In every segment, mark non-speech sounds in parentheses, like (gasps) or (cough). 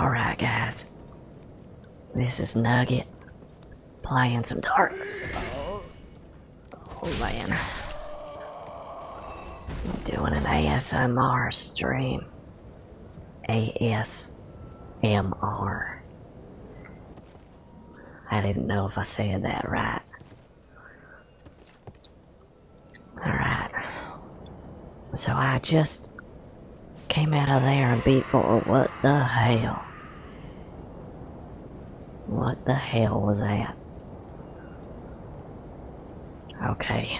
Alright, guys. This is Nugget playing some Dark Souls. Oh man. I'm doing an ASMR stream. ASMR. I didn't know if I said that right. Alright. So I just Came out of there and beat for What the hell? What the hell was that? Okay.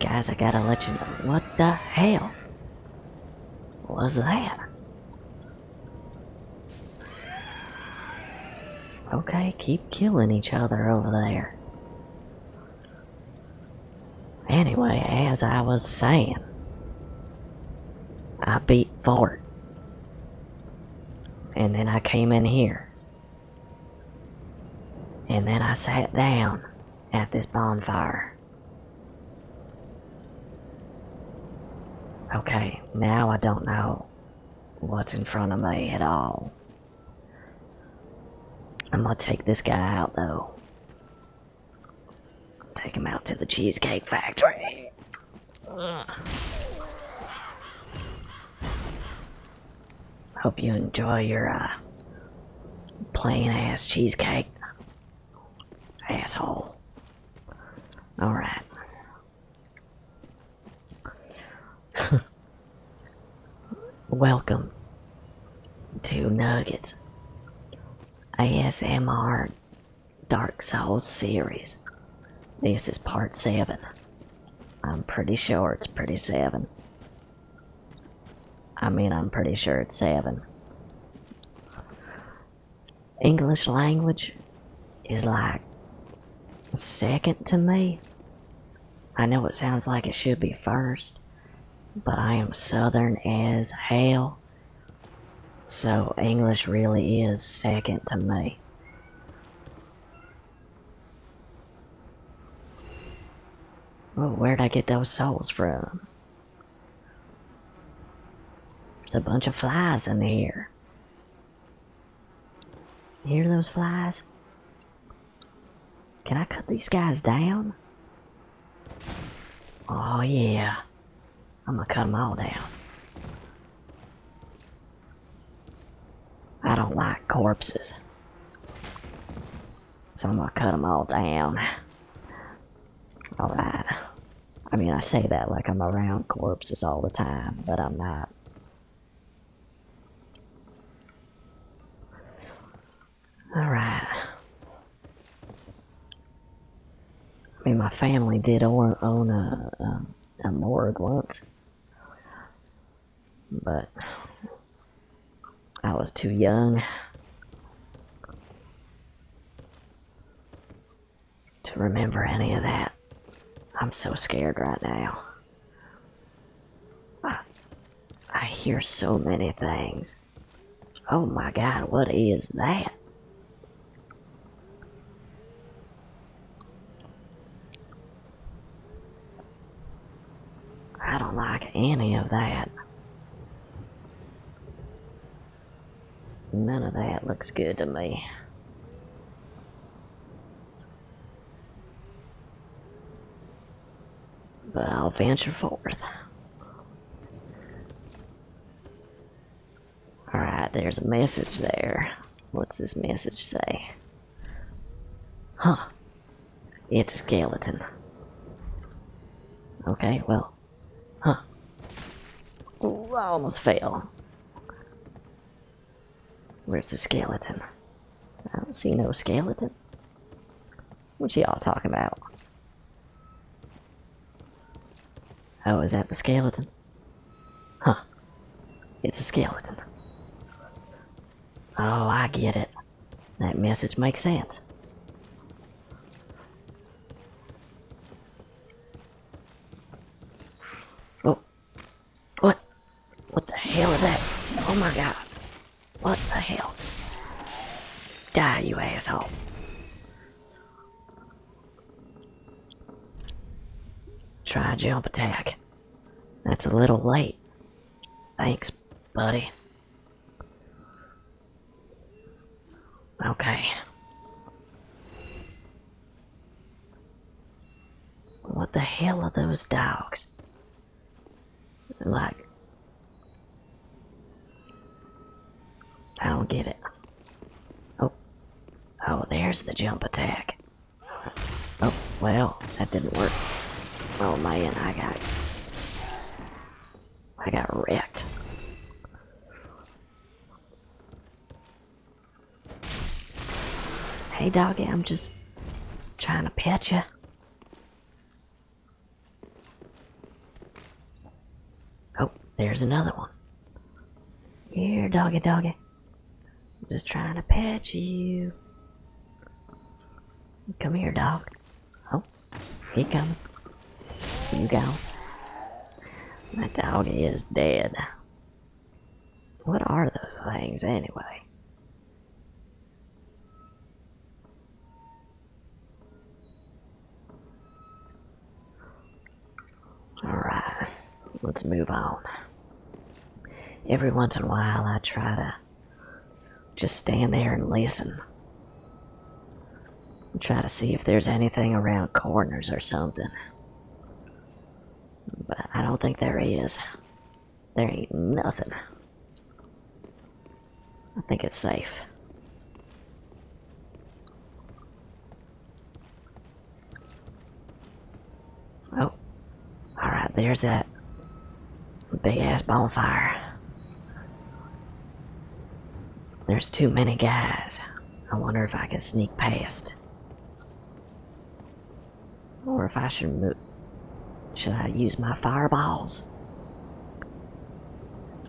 Guys, I gotta let you know. What the hell was that? Okay, keep killing each other over there. Anyway, as I was saying, I beat Fort. And then I came in here. And then I sat down at this bonfire. Okay, now I don't know what's in front of me at all. I'm gonna take this guy out though. Take him out to the Cheesecake Factory. Hope you enjoy your uh, plain ass cheesecake. Asshole. Alright. (laughs) Welcome to Nuggets ASMR Dark Souls series. This is part 7. I'm pretty sure it's pretty 7. I mean, I'm pretty sure it's 7. English language is like second to me. I know it sounds like it should be first, but I am southern as hell. So English really is second to me. Well, where'd I get those souls from? There's a bunch of flies in here. hear those flies? Can I cut these guys down? Oh yeah. I'm gonna cut them all down. I don't like corpses. So I'm gonna cut them all down. Alright. I mean, I say that like I'm around corpses all the time, but I'm not. All right. I mean, my family did own, own a, a, a morgue once, but I was too young to remember any of that. I'm so scared right now. I hear so many things. Oh my god, what is that? I don't like any of that. None of that looks good to me. But I'll venture forth. Alright, there's a message there. What's this message say? Huh. It's a skeleton. Okay, well. Huh. I almost fail. Where's the skeleton? I don't see no skeleton. What y'all talking about? Oh, is that the skeleton? Huh. It's a skeleton. Oh, I get it. That message makes sense. Oh. What? What the hell is that? Oh my god. What the hell? Die, you asshole. Try jump attack. That's a little late. Thanks, buddy. Okay. What the hell are those dogs? Like, I don't get it. Oh, oh, there's the jump attack. Oh, well, that didn't work. Oh man, I got, I got wrecked. Hey doggy, I'm just trying to pet you. Oh, there's another one. Here, doggy doggy. I'm just trying to pet you. Come here, dog. Oh, he coming. You go. My dog is dead. What are those things anyway? Alright, let's move on. Every once in a while, I try to just stand there and listen. And try to see if there's anything around corners or something. But I don't think there is. There ain't nothing. I think it's safe. Oh. Alright, there's that big ass bonfire. There's too many guys. I wonder if I can sneak past. Or if I should Should I use my fireballs?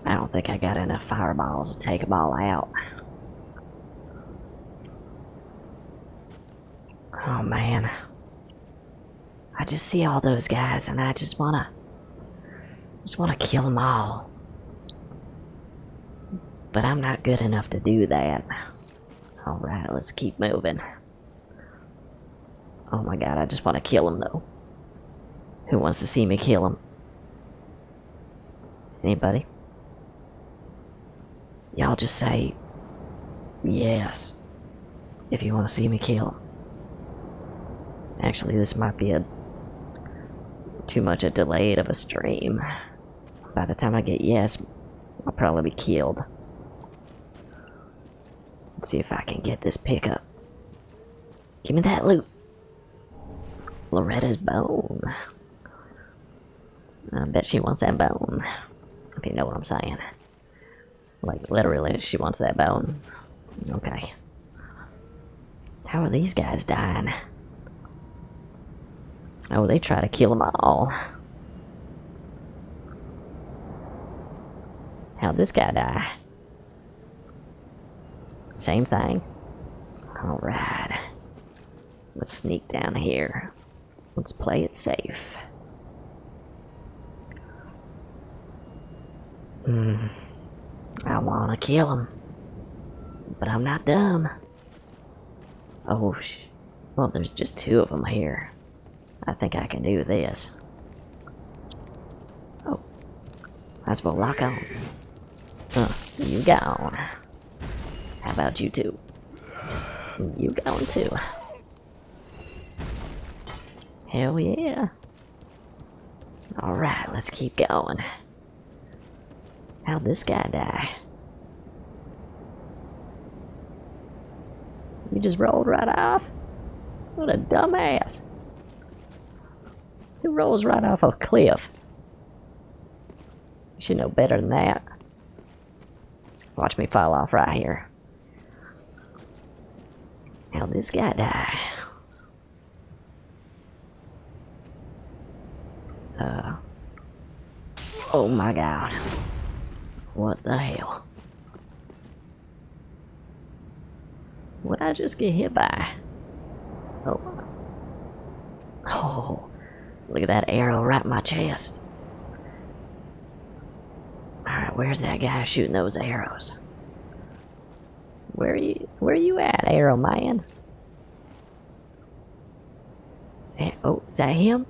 I don't think I got enough fireballs to take them all out. Oh man. I just see all those guys and I just wanna just wanna kill them all. But I'm not good enough to do that. Alright, let's keep moving. Oh my god, I just want to kill him though. Who wants to see me kill him? Anybody? Y'all just say yes if you want to see me kill him. Actually, this might be a too much a delayed of a stream. By the time I get yes, I'll probably be killed. Let's see if I can get this pickup. Give me that loot. Loretta's bone. I bet she wants that bone. If you know what I'm saying. Like, literally, she wants that bone. Okay. How are these guys dying? Oh, they try to kill them all. How'd this guy die? Same thing. Alright. Let's sneak down here. Let's play it safe. Mm, I wanna kill him. But I'm not dumb. Oh, sh well, there's just two of them here. I think I can do this. Oh. I suppose lock on. Huh, you gone. How about you two? You gone too. Hell yeah. Alright, let's keep going. How'd this guy die? You just rolled right off? What a dumbass. Who rolls right off a cliff? You should know better than that. Watch me fall off right here. how this guy die? Uh, oh my god. What the hell? What I just get hit by? Oh. Oh. Look at that arrow right in my chest. Alright, where's that guy shooting those arrows? Where are you where are you at, arrow man? Oh, is that him?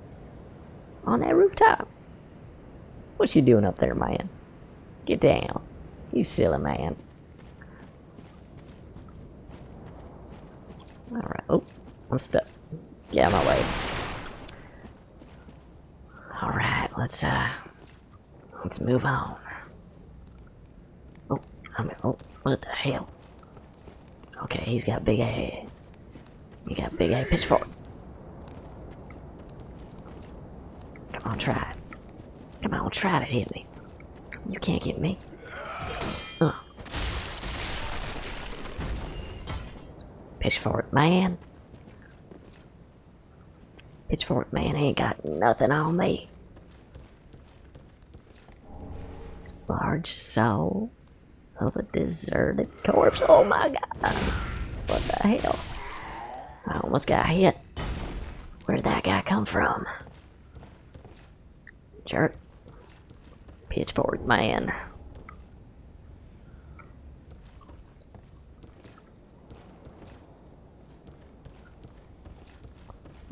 On that rooftop. What you doing up there, man? Get down. You silly man. Alright. Oh, I'm stuck. Get out of my way. Alright, let's, uh... Let's move on. Oh, I'm... Oh, what the hell? Okay, he's got big head. You got big A pitchfork. Come on, try it. Come on, try to hit me. You can't hit me. Uh. Pitchfork man. Pitchfork man ain't got nothing on me. Large soul. Oh, a deserted corpse. Oh my god. What the hell? I almost got hit. Where'd that guy come from? Jerk. Pitchfork man.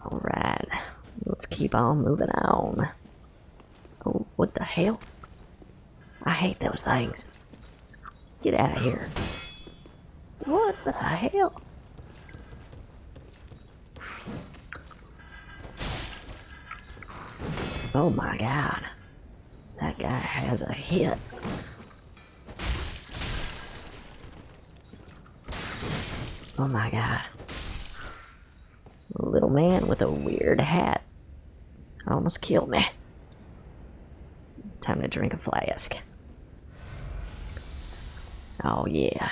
Alright. Let's keep on moving on. Oh, what the hell? I hate those things. Get out of here. What the hell? Oh my god. That guy has a hit. Oh my god. A little man with a weird hat. Almost killed me. Time to drink a flask. Oh yeah.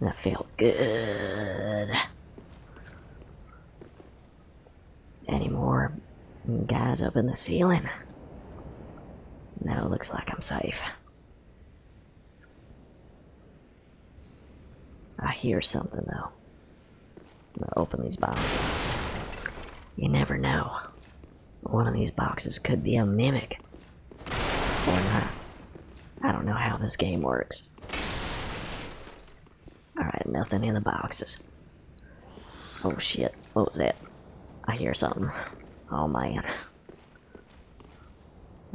That felt good. Any more guys up in the ceiling? No, looks like I'm safe. I hear something though open these boxes. You never know. One of these boxes could be a mimic. Or not. I don't know how this game works. Alright, nothing in the boxes. Oh shit, what was that? I hear something. Oh man.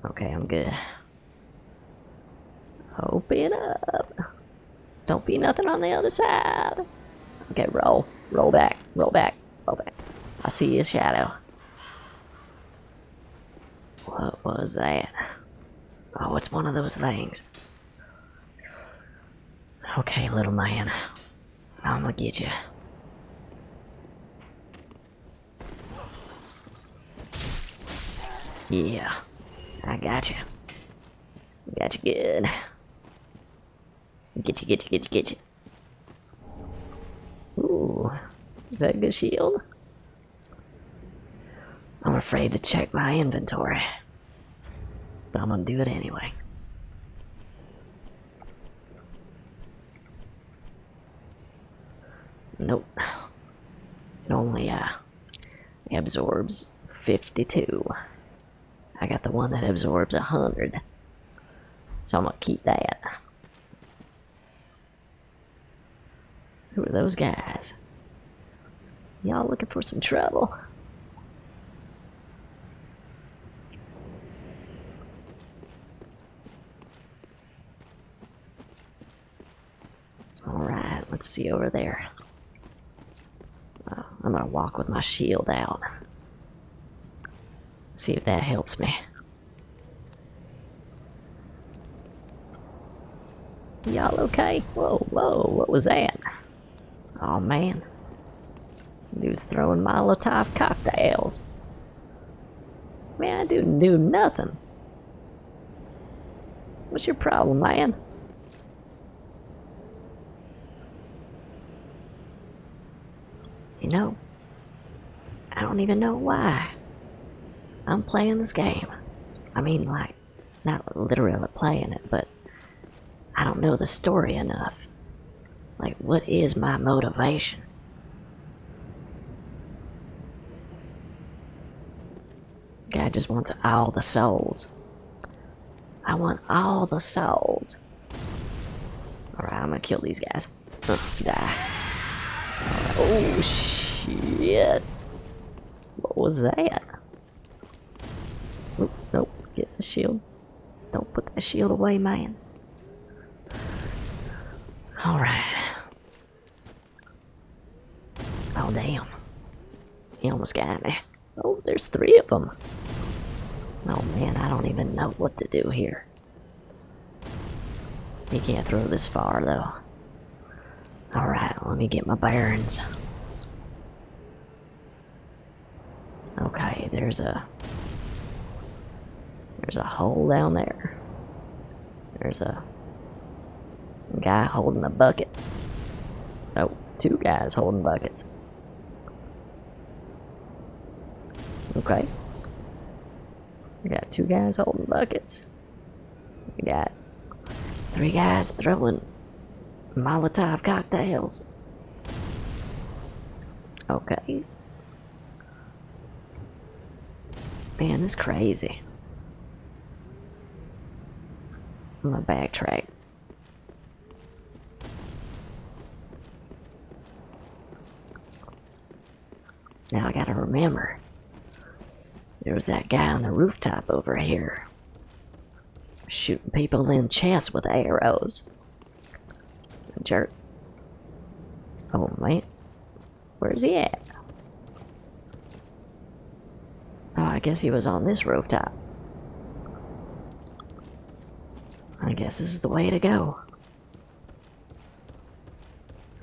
Okay, I'm good. Open up. Don't be nothing on the other side. Okay, roll. Roll back. Roll back. Roll back. I see your shadow. What was that? Oh, it's one of those things. Okay, little man. I'm gonna get you. Yeah, I got you. Got you good. Get you, get you, get you, get you. Ooh, is that a good shield? I'm afraid to check my inventory. But I'm gonna do it anyway. Nope. It only, uh, absorbs 52. I got the one that absorbs 100. So I'm going to keep that. Who are those guys? Y'all looking for some trouble? Alright, let's see over there. Uh, I'm gonna walk with my shield out. See if that helps me. Y'all okay? Whoa, whoa, what was that? oh, man. He was throwing Molotov cocktails. Man, I do do nothing. What's your problem, man? You know, I don't even know why I'm playing this game. I mean, like, not literally playing it, but I don't know the story enough. Like, what is my motivation? Guy just wants all the souls. I want all the souls. Alright, I'm gonna kill these guys. Oh, shit. What was that? Oop, nope, get the shield. Don't put that shield away, man. Alright. Oh, damn. He almost got me. Oh, there's three of them. Oh, man, I don't even know what to do here. He can't throw this far, though. Alright, let me get my bearings. Okay, there's a... There's a hole down there. There's a guy holding a bucket. Oh, two guys holding buckets. Okay. We got two guys holding buckets. We got three guys throwing Molotov cocktails. Okay. Man, this crazy. I'm gonna backtrack. Now I gotta remember. There was that guy on the rooftop over here. Shooting people in chess with arrows. Jerk. Oh, wait. Where's he at? Oh, I guess he was on this rooftop. I guess this is the way to go.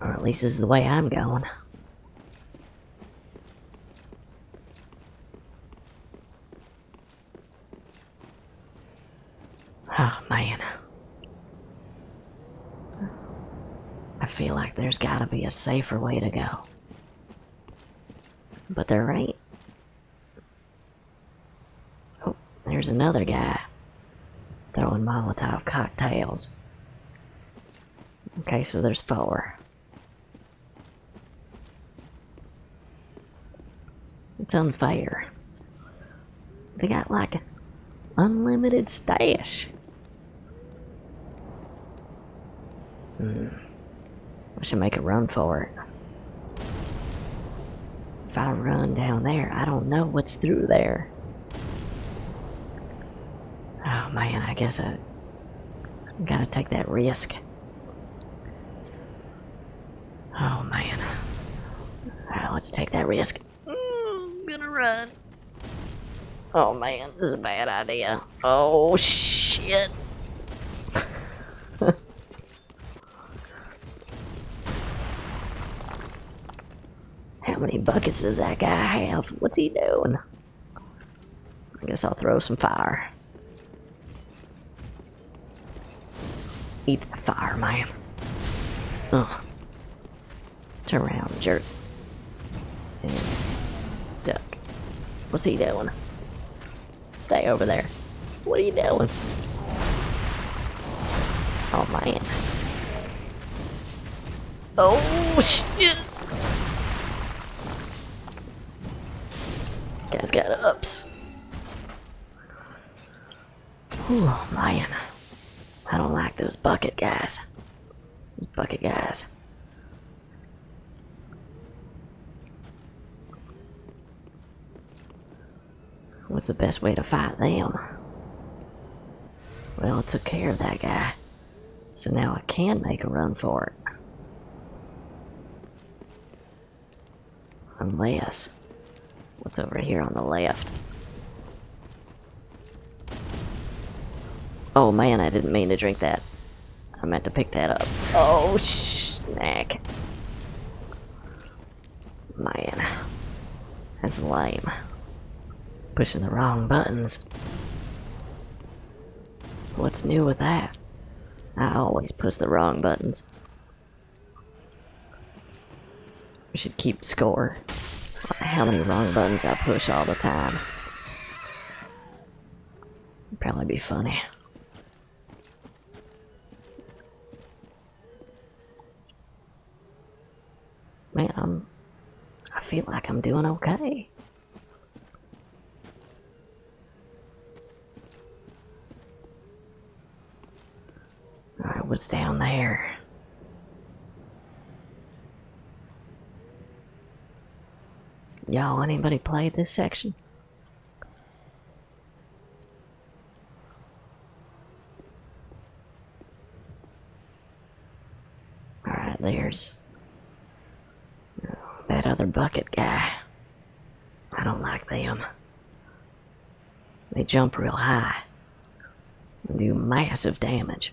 Or at least this is the way I'm going. Ah, man. I feel like there's gotta be a safer way to go. But they're right. Oh, there's another guy throwing Molotov cocktails. Okay, so there's four. It's on fire. They got like unlimited stash. Hmm. We should make a run for it. If I run down there, I don't know what's through there. Oh man, I guess I gotta take that risk. Oh man. let's take that risk. Mm, I'm gonna run. Oh man, this is a bad idea. Oh shit. (laughs) How many buckets does that guy have? What's he doing? I guess I'll throw some fire. Eat the fire, man. Ugh. Turn around, jerk. duck. What's he doing? Stay over there. What are you doing? Oh man. Oh shit! Guys got ups. Oh man. I don't like those bucket guys. These bucket guys. What's the best way to fight them? Well, I took care of that guy. So now I can make a run for it. Unless... What's over here on the left? Oh man, I didn't mean to drink that. I meant to pick that up. Oh, snack. Man. That's lame. Pushing the wrong buttons. What's new with that? I always push the wrong buttons. We should keep score. How many wrong buttons I push all the time probably be funny. Man, I'm, I feel like I'm doing okay. Alright, what's down there? Y'all, anybody played this section? Alright, there's oh, that other bucket guy. I don't like them. They jump real high and do massive damage.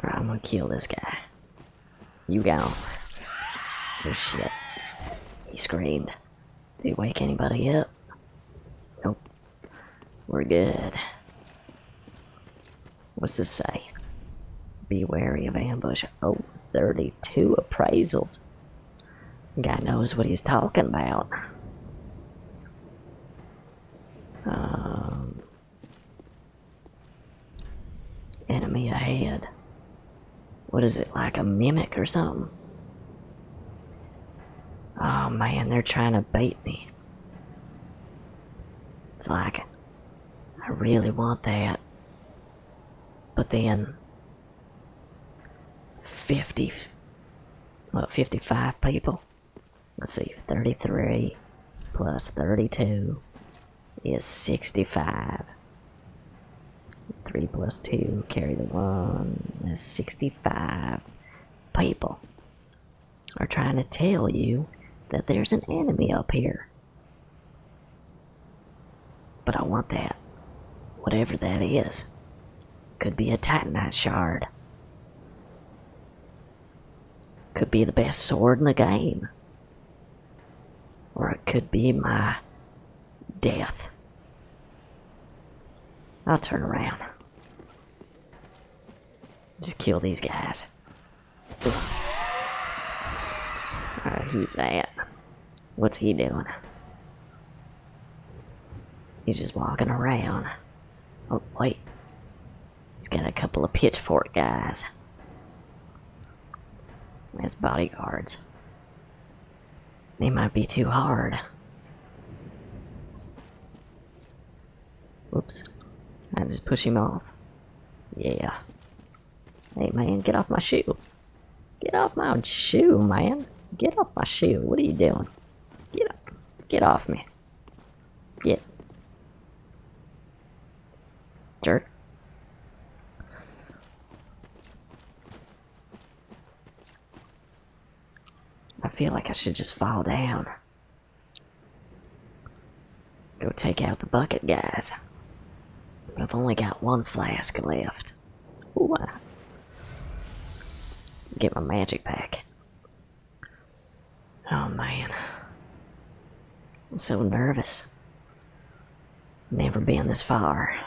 I'm gonna kill this guy. You go. Oh shit. He screamed. Did he wake anybody up? Nope. We're good. What's this say? Be wary of ambush. Oh, thirty-two appraisals. Guy knows what he's talking about. Um, enemy ahead. What is it, like a mimic or something? Oh man, they're trying to bait me. It's like, I really want that. But then, 50 what 55 people. Let's see, 33 plus 32 is 65. 3 plus 2, carry the 1, is 65 people are trying to tell you that there's an enemy up here. But I want that, whatever that is. Could be a titanite shard. Could be the best sword in the game. Or it could be my death. I'll turn around. Just kill these guys. Alright, who's that? What's he doing? He's just walking around. Oh, wait. He's got a couple of pitchfork guys. That's bodyguards. They might be too hard. Whoops. I just push him off. Yeah. Hey man, get off my shoe. Get off my shoe, man. Get off my shoe. What are you doing? Get up. Get off me. Get. Jerk. I feel like I should just fall down. Go take out the bucket guys. I've only got one flask left left. Ah. Get my magic back. Oh man. I'm so nervous. Never been this far.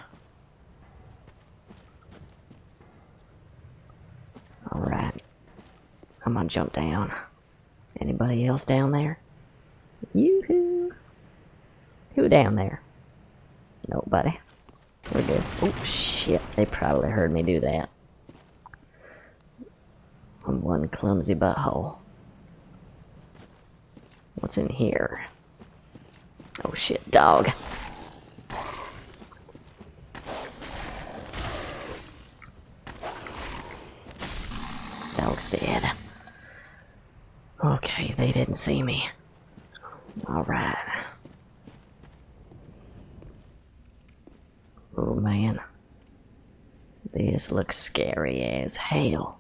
Alright. I'm gonna jump down. Anybody else down there? Yoo-hoo! Who down there? Nobody. Oh, shit. They probably heard me do that. I'm one clumsy butthole. What's in here? Oh, shit, dog. Dog's dead. Okay, they didn't see me. All right. Oh man. This looks scary as hell.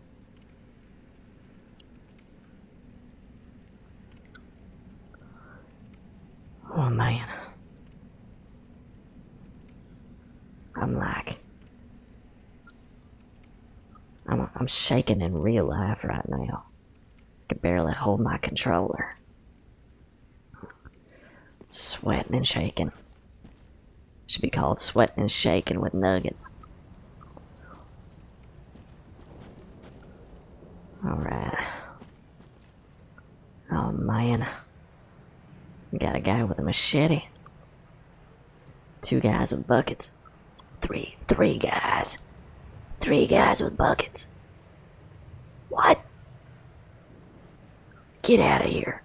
Oh man. I'm like. I'm, I'm shaking in real life right now. I could barely hold my controller. Sweating and shaking. Should be called sweating and shaking with Nugget. Alright. Oh man. Got a guy with a machete. Two guys with buckets. Three, three guys. Three guys with buckets. What? Get out of here.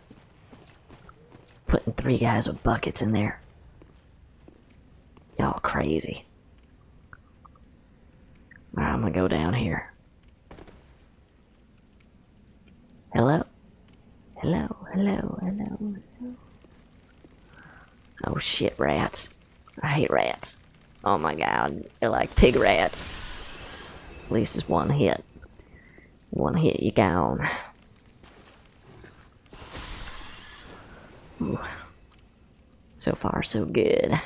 Putting three guys with buckets in there. Y'all crazy. I'm gonna go down here. Hello, hello, hello, hello. Oh shit, rats. I hate rats. Oh my god, they're like pig rats. At least it's one hit. One hit, you gone. Ooh. So far, so good.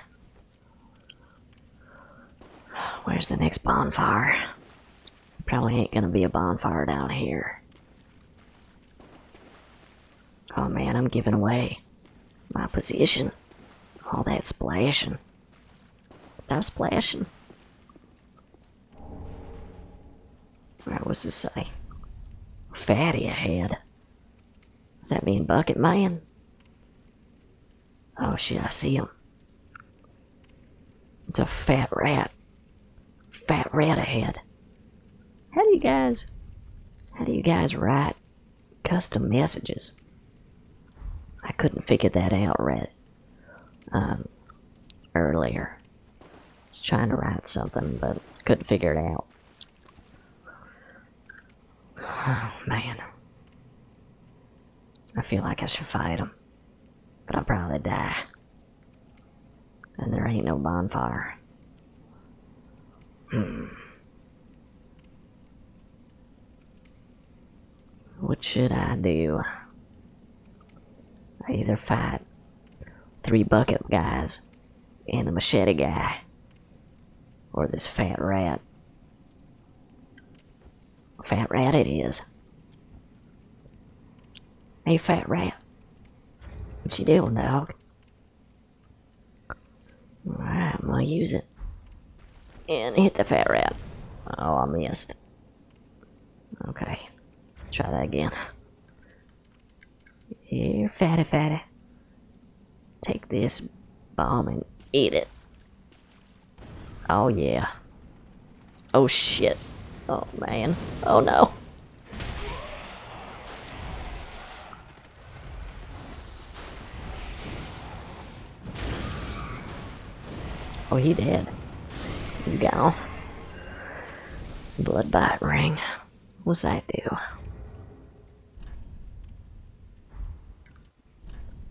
Where's the next bonfire? Probably ain't gonna be a bonfire down here. Oh man, I'm giving away my position. All that splashing. Stop splashing. Alright, what's this say? Uh, fatty ahead. Does that mean Bucket Man? Oh shit, I see him. It's a fat rat. Fat rat ahead. How do you guys, how do you guys write custom messages. I couldn't figure that out right um, earlier. I was trying to write something, but couldn't figure it out. (sighs) man. I feel like I should fight him, but I'll probably die. And there ain't no bonfire. Hmm. What should I do? I either fight three bucket guys and the machete guy or this fat rat. Fat rat it is. A fat rat. What you doing, dog? I'm gonna use it. And hit the fat rat. Oh, I missed. Okay. Try that again. Here, fatty fatty. Take this bomb and eat it. Oh yeah. Oh shit. Oh man. Oh no. Oh, he did. You go. gone. Blood bite ring. What's that do?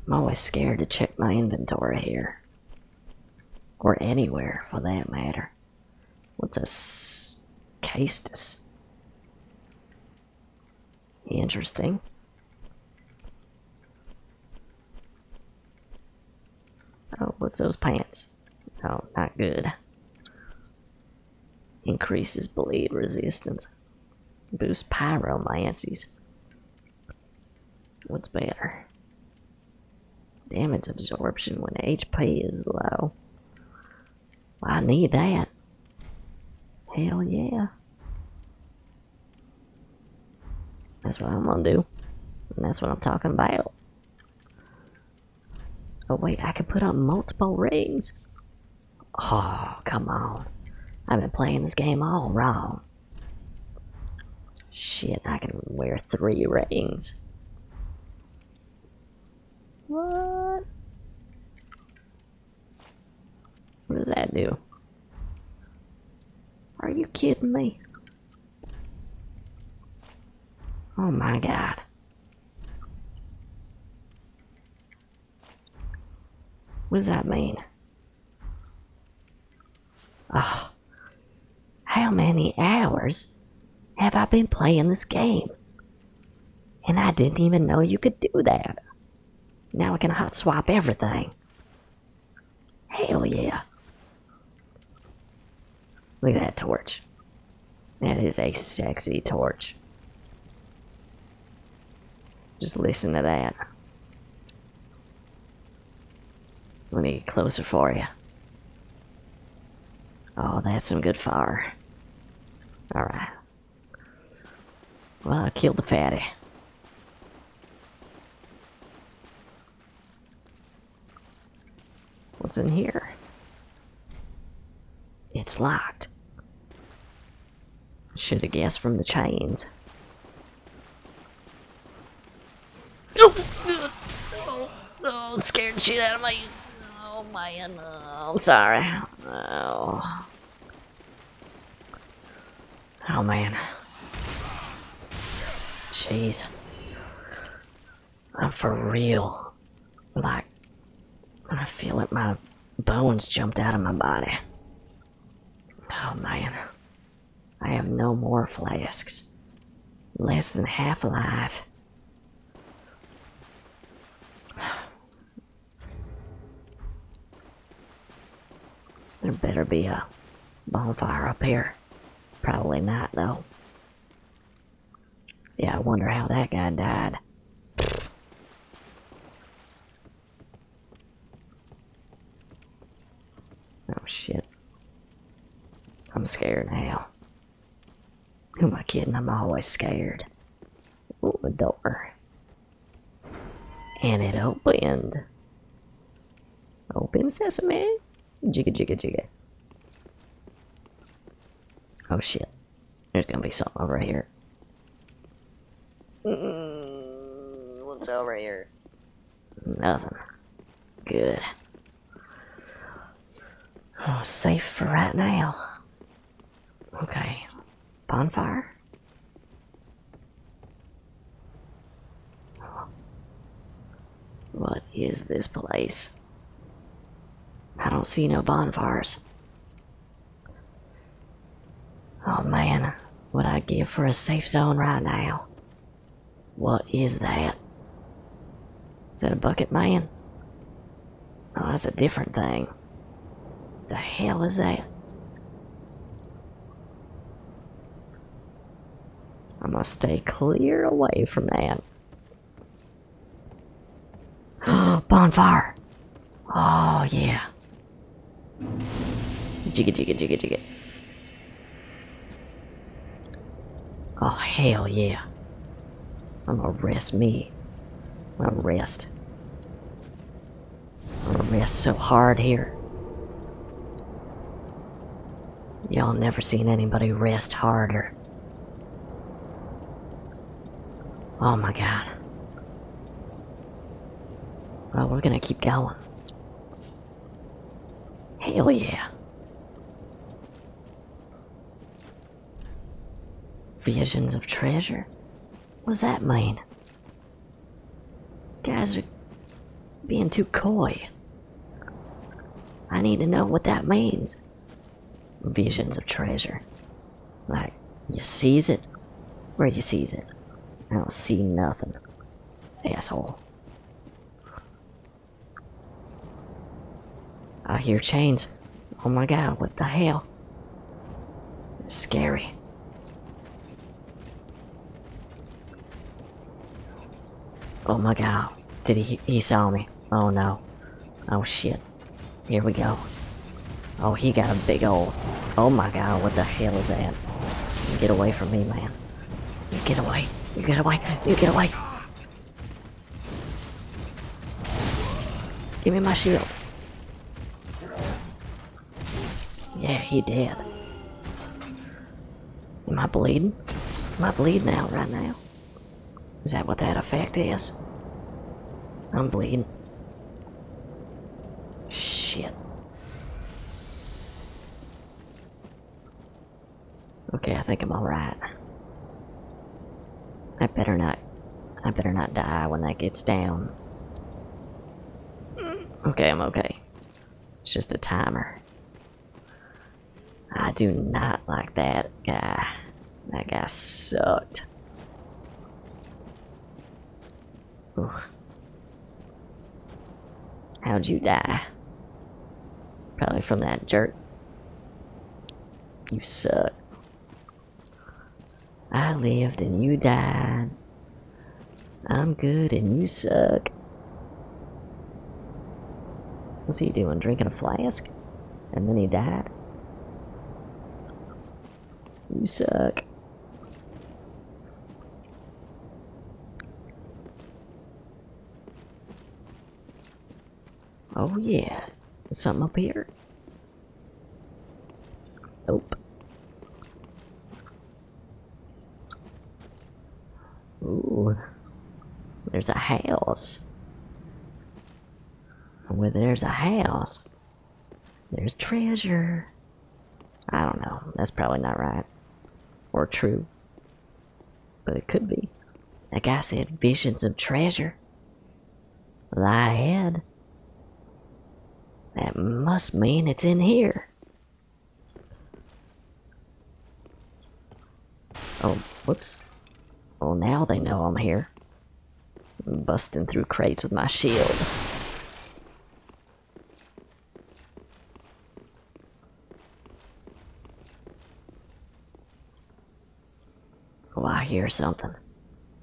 I'm always scared to check my inventory here. Or anywhere, for that matter. What's a Castus. Interesting. Oh, what's those pants? Oh, not good. Increases blade resistance. Boosts pyromancies. What's better? Damage absorption when HP is low. I need that. Hell yeah. That's what I'm gonna do. that's what I'm talking about. Oh wait, I can put on multiple rings. Oh, come on. I've been playing this game all wrong. Shit, I can wear three rings. What? What does that do? Are you kidding me? Oh my god. What does that mean? Oh, how many hours have I been playing this game? And I didn't even know you could do that. Now I can hot swap everything. Hell yeah. Look at that torch. That is a sexy torch. Just listen to that. Let me get closer for you. Oh, that's some good fire. Alright. Well, I killed the fatty. What's in here? It's locked. Should have guessed from the chains. No! Oh, oh, oh, scared shit out of my Oh man, uh, I'm sorry. Oh. Oh man. Jeez. I'm for real. Like, I feel like my bones jumped out of my body. Oh man. I have no more flasks. Less than half alive. There better be a bonfire up here. Probably not, though. Yeah, I wonder how that guy died. Oh, shit. I'm scared now. Who am I kidding? I'm always scared. Ooh, a door. And it opened. Open sesame. Jigga jigga jigga. Oh shit. There's gonna be something over here. Mm, what's over here? Nothing. Good. Oh, safe for right now. Okay. Bonfire? What is this place? I don't see no bonfires. Oh man, what I give for a safe zone right now. What is that? Is that a bucket man? Oh, that's a different thing. The hell is that? I must stay clear away from that. (gasps) Bonfire! Oh, yeah. Jigga, jigga, jigga, jigga. Oh, hell yeah. I'm gonna rest me. I'm gonna rest. I'm gonna rest so hard here. Y'all never seen anybody rest harder. Oh my god. Well, we're gonna keep going. Hell yeah. Visions of treasure? What's that mean? Guys are being too coy. I need to know what that means. Visions of treasure. Like, you sees it? Where you sees it? I don't see nothing. Asshole. I hear chains. Oh my god, what the hell? It's scary. Oh my god. Did he- he saw me. Oh no. Oh shit. Here we go. Oh, he got a big old- Oh my god, what the hell is that? Get away from me, man. get away. You get away. You get away. Give me my shield. Yeah, he did. Am I bleeding? Am I bleeding now? right now? Is that what that effect is? I'm bleeding. Shit. Okay, I think I'm alright. I better not... I better not die when that gets down. Okay, I'm okay. It's just a timer. I do not like that guy. That guy sucked. Ooh. How'd you die? Probably from that jerk. You suck. I lived and you died. I'm good and you suck. What's he doing? Drinking a flask? And then he died? You suck. Oh yeah. Something up here? Nope. Ooh. There's a house. Where there's a house, there's treasure. I don't know. That's probably not right. Or true but it could be. That guy said, visions of treasure lie ahead. That must mean it's in here. Oh, whoops. Well, now they know I'm here. busting through crates with my shield. Oh, I hear something.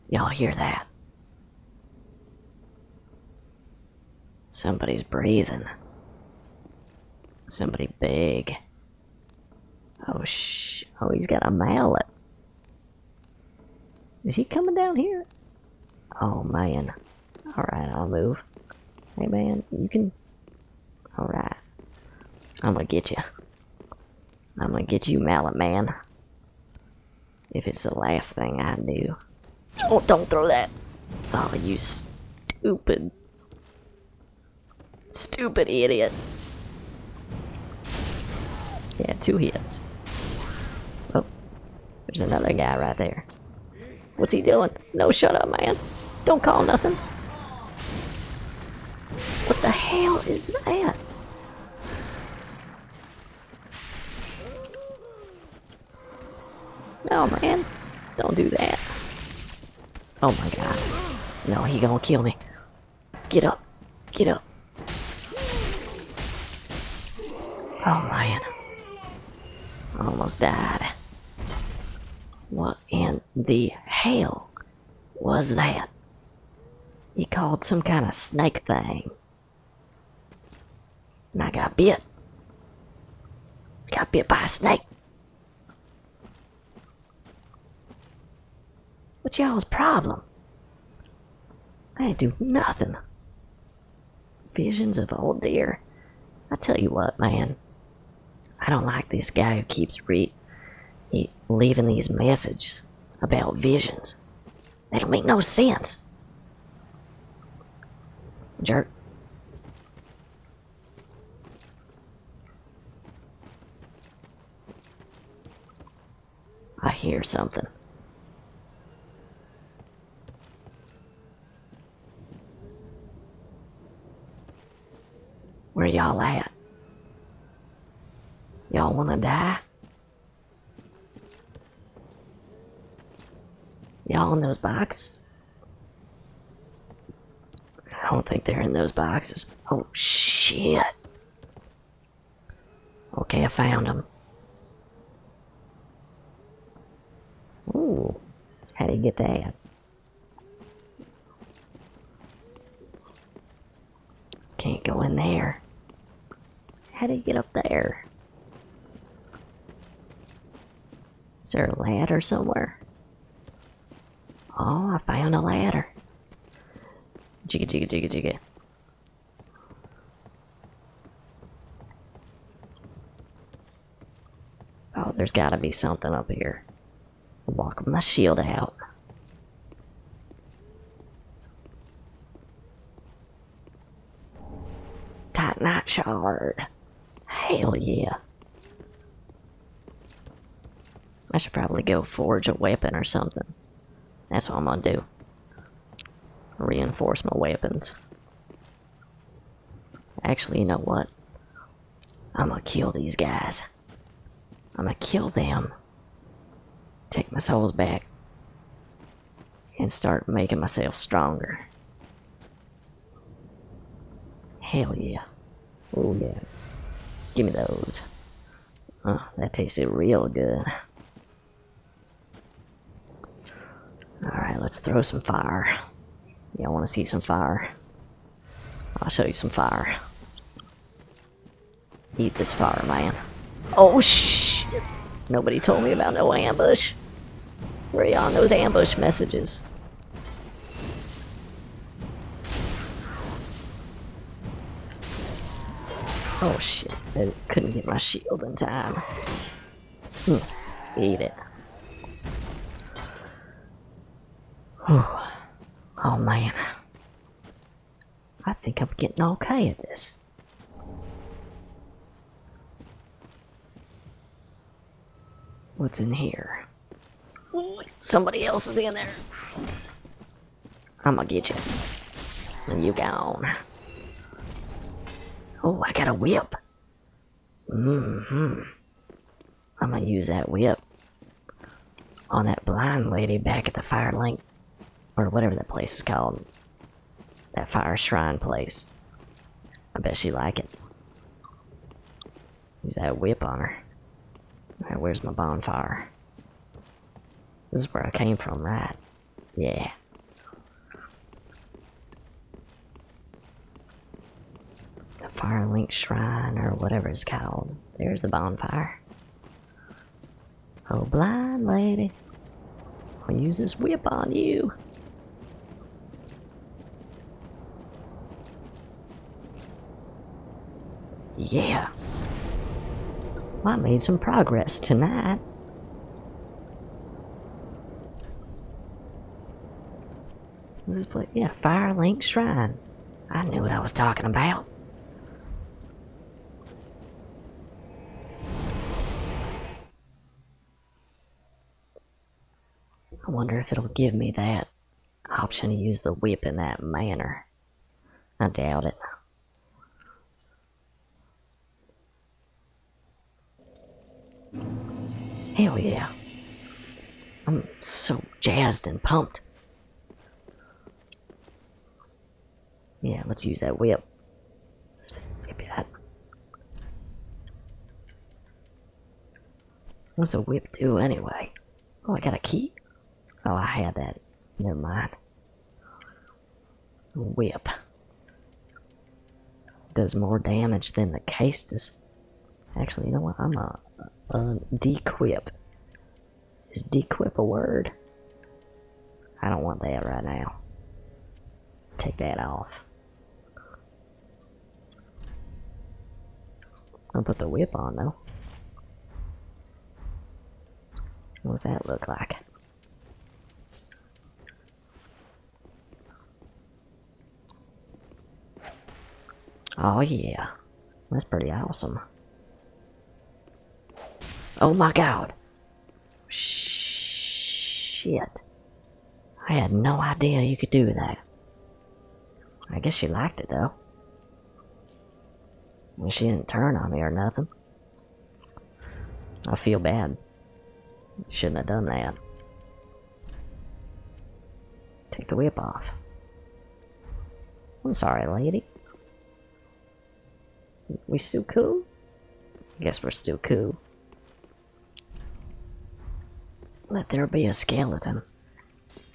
Y'all hear that? Somebody's breathing. Somebody big. Oh, sh. Oh, he's got a mallet. Is he coming down here? Oh, man. Alright, I'll move. Hey, man, you can... Alright. I'm gonna get you. I'm gonna get you, Mallet Man. If it's the last thing I do. Oh, don't throw that! Oh, you stupid... Stupid idiot. Yeah, two hits. Oh, there's another guy right there. What's he doing? No, shut up, man. Don't call nothing. What the hell is that? Oh man. Don't do that. Oh my god. No, he gonna kill me. Get up. Get up. Oh man. almost died. What in the hell was that? He called some kind of snake thing. And I got bit. Got bit by a snake. What's y'all's problem? I ain't do nothing. Visions of old dear. I tell you what, man. I don't like this guy who keeps re leaving these messages about visions. They don't make no sense. Jerk. I hear something. Where y'all at? Y'all wanna die? Y'all in those boxes? I don't think they're in those boxes. Oh, shit. Okay, I found them. Ooh, how would you get that? Can't go in there. How do you get up there? Is there a ladder somewhere? Oh, I found a ladder. Jigga, jigga, jigga, jigga. Oh, there's gotta be something up here. Walk my shield out. Tight night shard. Hell yeah. I should probably go forge a weapon or something. That's what I'm gonna do. Reinforce my weapons. Actually, you know what? I'm gonna kill these guys. I'm gonna kill them. Take my souls back. And start making myself stronger. Hell yeah. Oh yeah. Give me those. Oh, that tasted real good. Alright, let's throw some fire. Y'all want to see some fire. I'll show you some fire. Eat this fire, man. Oh, shit. Nobody told me about no ambush. Where are on those ambush messages? Oh, shit. I couldn't get my shield in time. Hmm. Eat it. Whew. Oh man. I think I'm getting okay at this. What's in here? Somebody else is in there. I'm gonna get you. And you gone. Oh, I got a whip. hmm I'm gonna use that whip on that blind lady back at the fire link, or whatever that place is called. That fire shrine place. I bet she like it. Use that whip on her. where's my bonfire? This is where I came from, right? Yeah. The Fire Link Shrine, or whatever it's called. There's the bonfire. Oh, blind lady. I'll use this whip on you. Yeah. I made some progress tonight. What's this place? Yeah, Firelink Shrine. I knew what I was talking about. I wonder if it'll give me that option to use the whip in that manner. I doubt it. Hell yeah. I'm so jazzed and pumped. Yeah, let's use that whip. Maybe that. What's a whip do anyway? Oh, I got a key? Oh, I had that. Never mind. Whip. Does more damage than the case does. Actually, you know what? I'm a, a, a dequip. Is dequip a word? I don't want that right now. Take that off. I'll put the whip on though. What does that look like? Oh yeah, that's pretty awesome. Oh my god. Shit. I had no idea you could do that. I guess she liked it though. I she didn't turn on me or nothing. I feel bad. Shouldn't have done that. Take the whip off. I'm sorry, lady. We still cool? I guess we're still cool. Let there be a skeleton.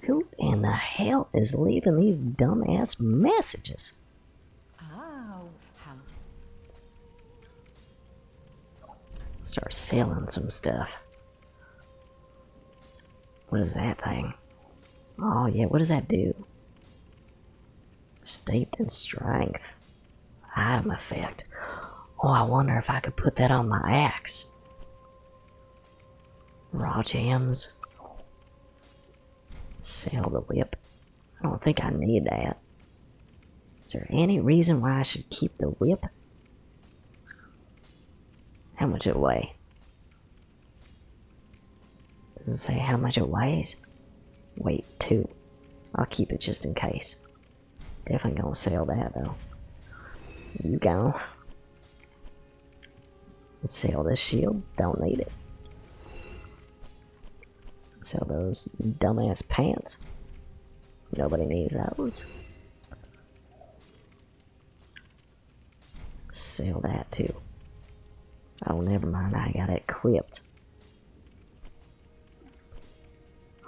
Who in the hell is leaving these dumbass messages? Oh, Start selling some stuff. What is that thing? Oh yeah, what does that do? Steeped in strength. Item effect. Oh, I wonder if I could put that on my axe. Raw jams. Sell the whip. I don't think I need that. Is there any reason why I should keep the whip? How much it weigh? Does it say how much it weighs? Weight 2. I'll keep it just in case. Definitely gonna sell that though. You go. Sell this shield. Don't need it. Sell those dumbass pants. Nobody needs those. Sell that too. Oh, never mind. I got it equipped.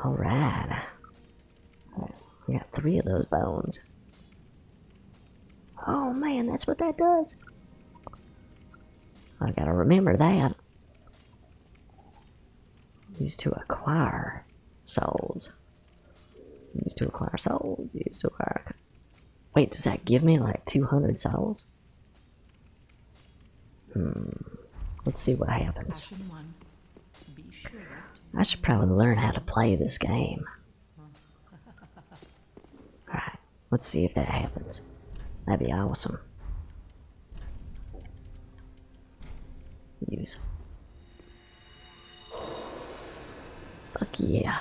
Alright. I got three of those bones. Oh man, that's what that does. I gotta remember that. Used to acquire souls. We used to acquire souls. Used to acquire. Wait, does that give me like 200 souls? Hmm. Let's see what happens. I should probably learn how to play this game. (laughs) Alright, let's see if that happens. That'd be awesome. Use. Fuck yeah.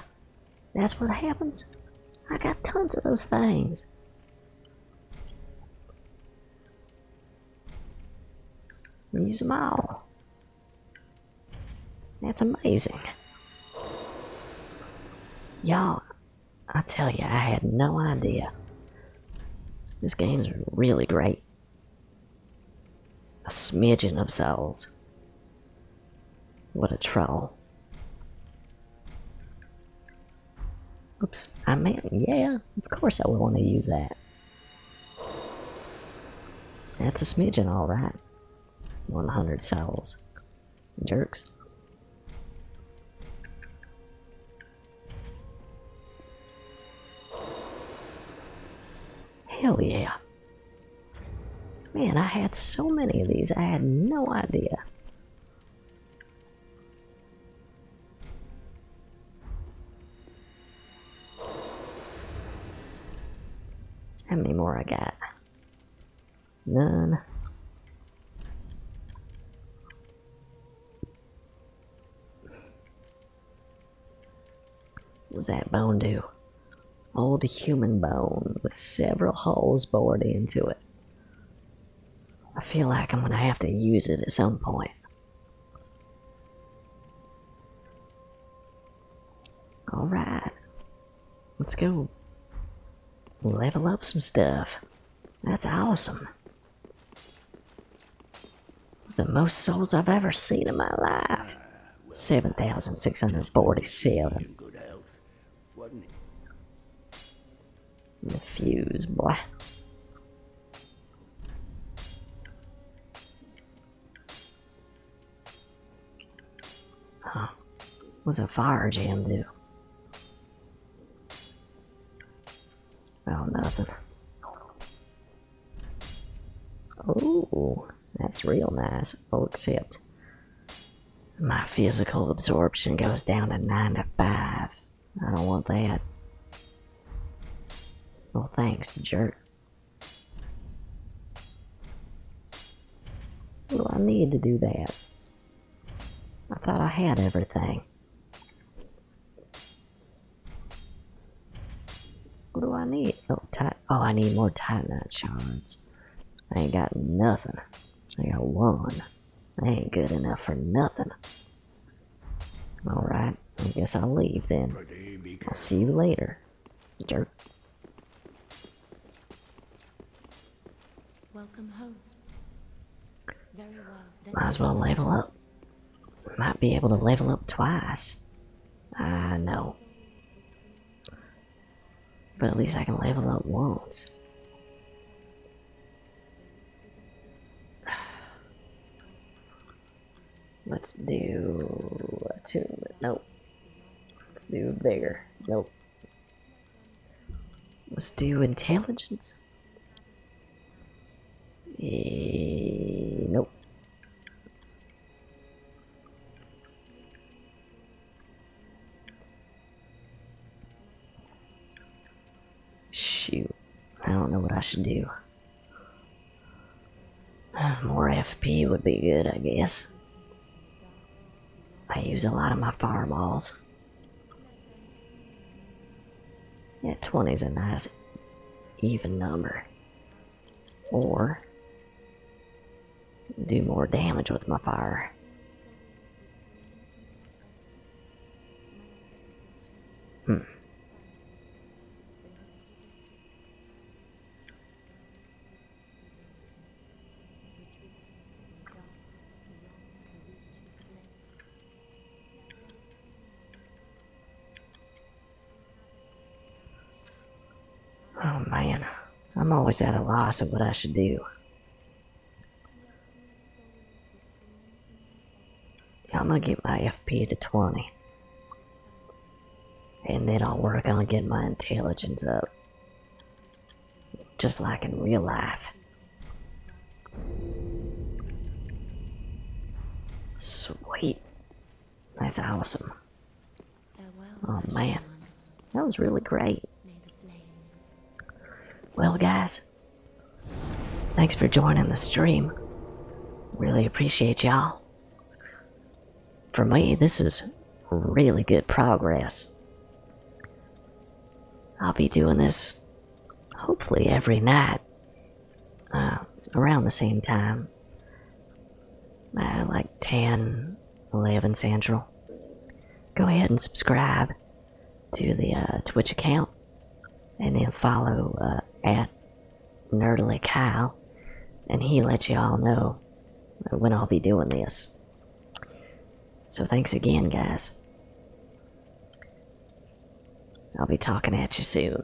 That's what happens. I got tons of those things. Use them all. That's amazing. Y'all, I tell you, I had no idea. This game's really great. A smidgen of cells. What a trowel! Oops, I mean, yeah, of course I would want to use that. That's a smidgen, all right. 100 cells. Jerks. Hell yeah. Man, I had so many of these, I had no idea. How many more I got? None. What was that bone do? Old human bone with several holes bored into it. I feel like I'm gonna have to use it at some point. Alright. Let's go level up some stuff. That's awesome. It's the most souls I've ever seen in my life. 7,647. The fuse, boy. Huh. What's a fire jam do? Oh, nothing. Oh, that's real nice. Oh, except my physical absorption goes down to 9 to 5. I don't want that. Well, thanks, jerk. Well, I need to do that. I thought I had everything. What do I need? Oh, Oh, I need more titanite shards. I ain't got nothing. I got one. I ain't good enough for nothing. Alright, I guess I'll leave then. I'll see you later, jerk. Welcome home. Might as well level up. Might be able to level up twice. I know. But at least I can level up once. (sighs) Let's do attunement. Nope. Let's do bigger. Nope. Let's do intelligence. Eh, nope. Shoot, I don't know what I should do. (sighs) More FP would be good, I guess. I use a lot of my fireballs. Yeah, 20 is a nice even number or do more damage with my fire. Hmm. Oh man, I'm always at a loss of what I should do. I'm gonna get my FP to 20. And then I'll work on getting my intelligence up. Just like in real life. Sweet. That's awesome. Oh man, that was really great. Well, guys, thanks for joining the stream. Really appreciate y'all. For me, this is really good progress. I'll be doing this hopefully every night uh, around the same time. Uh, like 10, 11 Central. Go ahead and subscribe to the uh, Twitch account and then follow at Nerdly Kyle, and he let you all know when I'll be doing this. So thanks again, guys. I'll be talking at you soon.